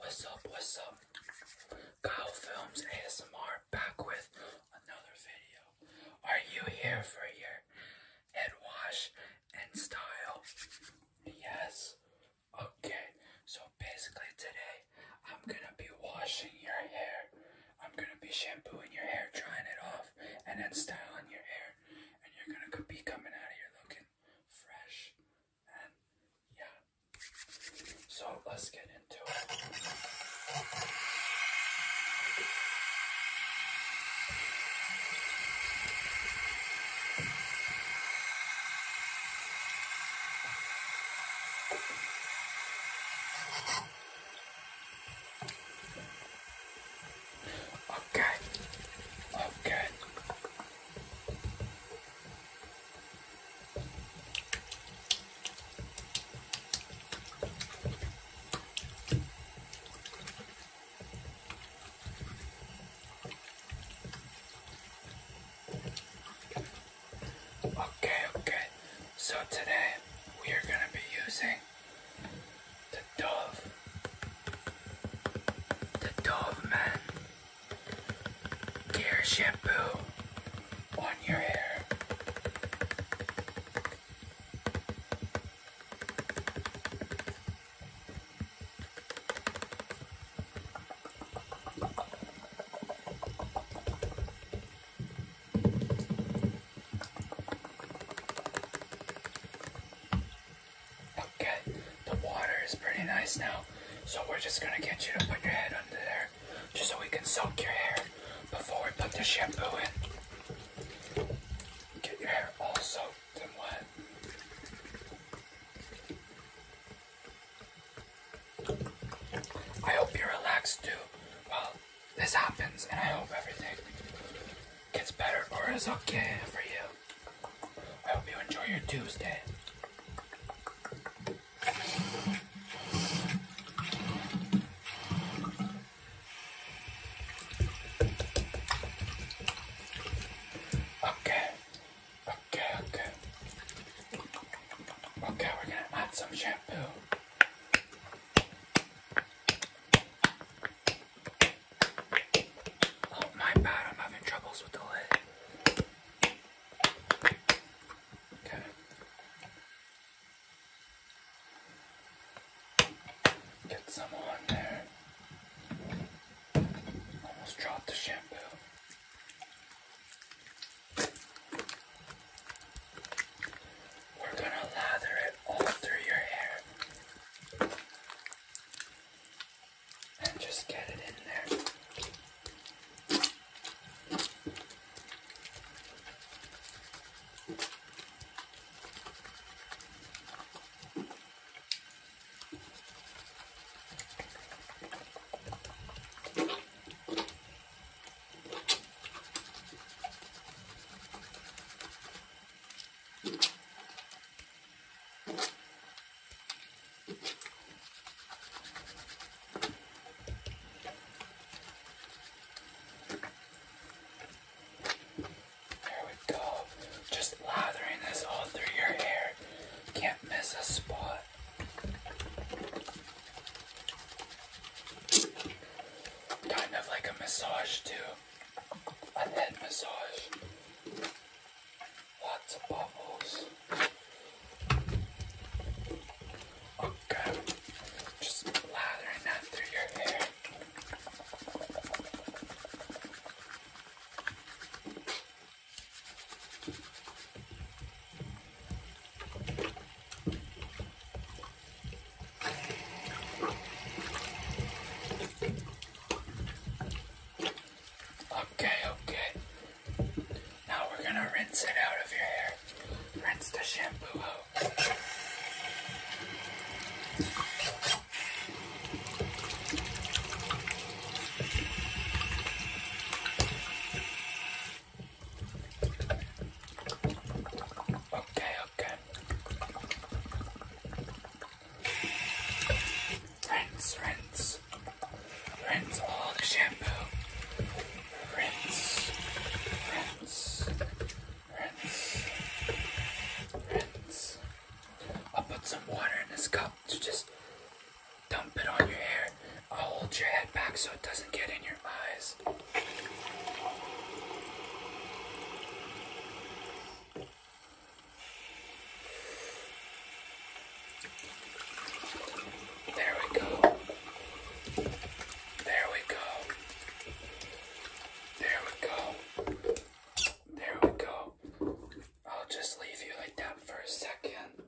What's up, what's up? Kyle Films ASMR back with another video. Are you here for your head wash and style? Yes? Okay, so basically today I'm gonna be washing your hair. I'm gonna be shampooing your hair, drying it off, and then styling your hair. And you're gonna be coming out of here looking fresh and yeah. So let's get into it. Okay. Okay. Okay, okay. So today we are going to be using dove. The dove man. Gear shampoo on your hair. Okay, the water is pretty nice now. So we're just gonna get you to put your head under there just so we can soak your hair before we put the shampoo in. Get your hair all soaked and wet. I hope you're relaxed too Well, this happens and I hope everything gets better or is okay for you. I hope you enjoy your Tuesday. Okay, okay, okay. Okay, we're gonna add some shampoo. Oh my bad, I'm having troubles with the lid. Okay. Get some on there. Almost dropped the shampoo. We're going to lather it all through your hair and just get it in there. There we go. Just lathering this all through your hair. Can't miss a spot. Kind of like a massage, too. A head massage. Lots of bubbles. Okay, just lathering that through your hair. Okay, okay. Now we're gonna rinse it out of your hair. Rinse the shampoo out. Okay, okay. Rinse, rinse. Rinse all the shampoo. Rinse, rinse, rinse, rinse. I'll put some water in this cup to just dump it on your hair. I'll hold your head back so it doesn't get in your eyes. There we go. There we go. There we go. There we go. I'll just leave you like that for a second.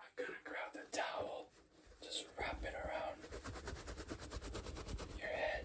I'm gonna grab the towel, just wrap it around your head.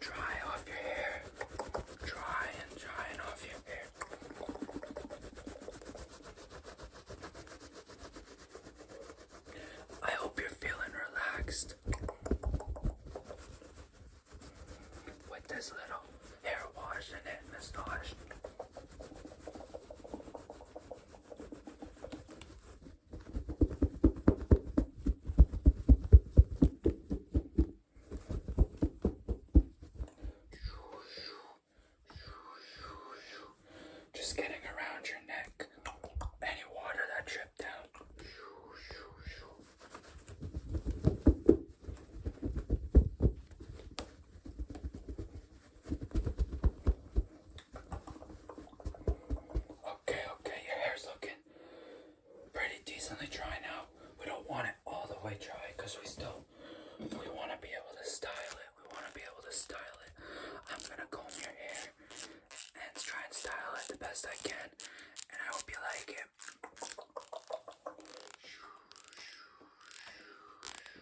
Dry off your hair. Dry and dry and off your hair. I hope you're feeling relaxed with this little hair wash and massage. Just getting around your neck. Any water that dripped down. Okay, okay, your hair's looking pretty decently dry now. We don't want it all the way dry because we still we want to be able to style it. We want to be able to style it. I'm gonna comb your hair and try and style it the best I can, and I hope you like it.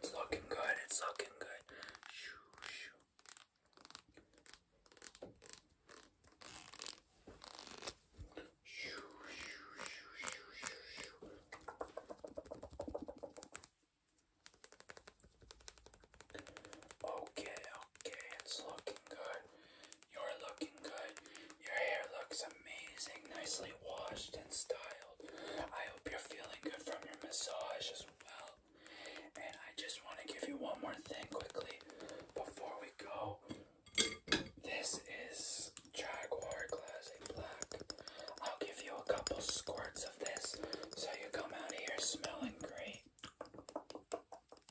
It's looking good, it's looking good. Okay, okay, it's looking good. You're looking good. Your hair looks amazing, nicely washed and styled. I hope you're feeling good from your massage as well. And I just want to give you one more thing quickly before we go. This is Jaguar Classic Black. I'll give you a couple squirts of this so you come out of here smelling great.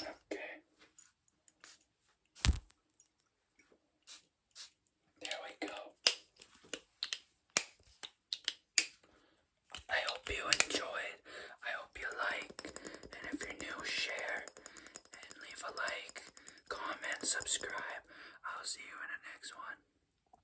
Okay. There we go. I hope you enjoy it. I hope you like. And if you're new, share and leave a like, comment, subscribe. I'll see you in the next one.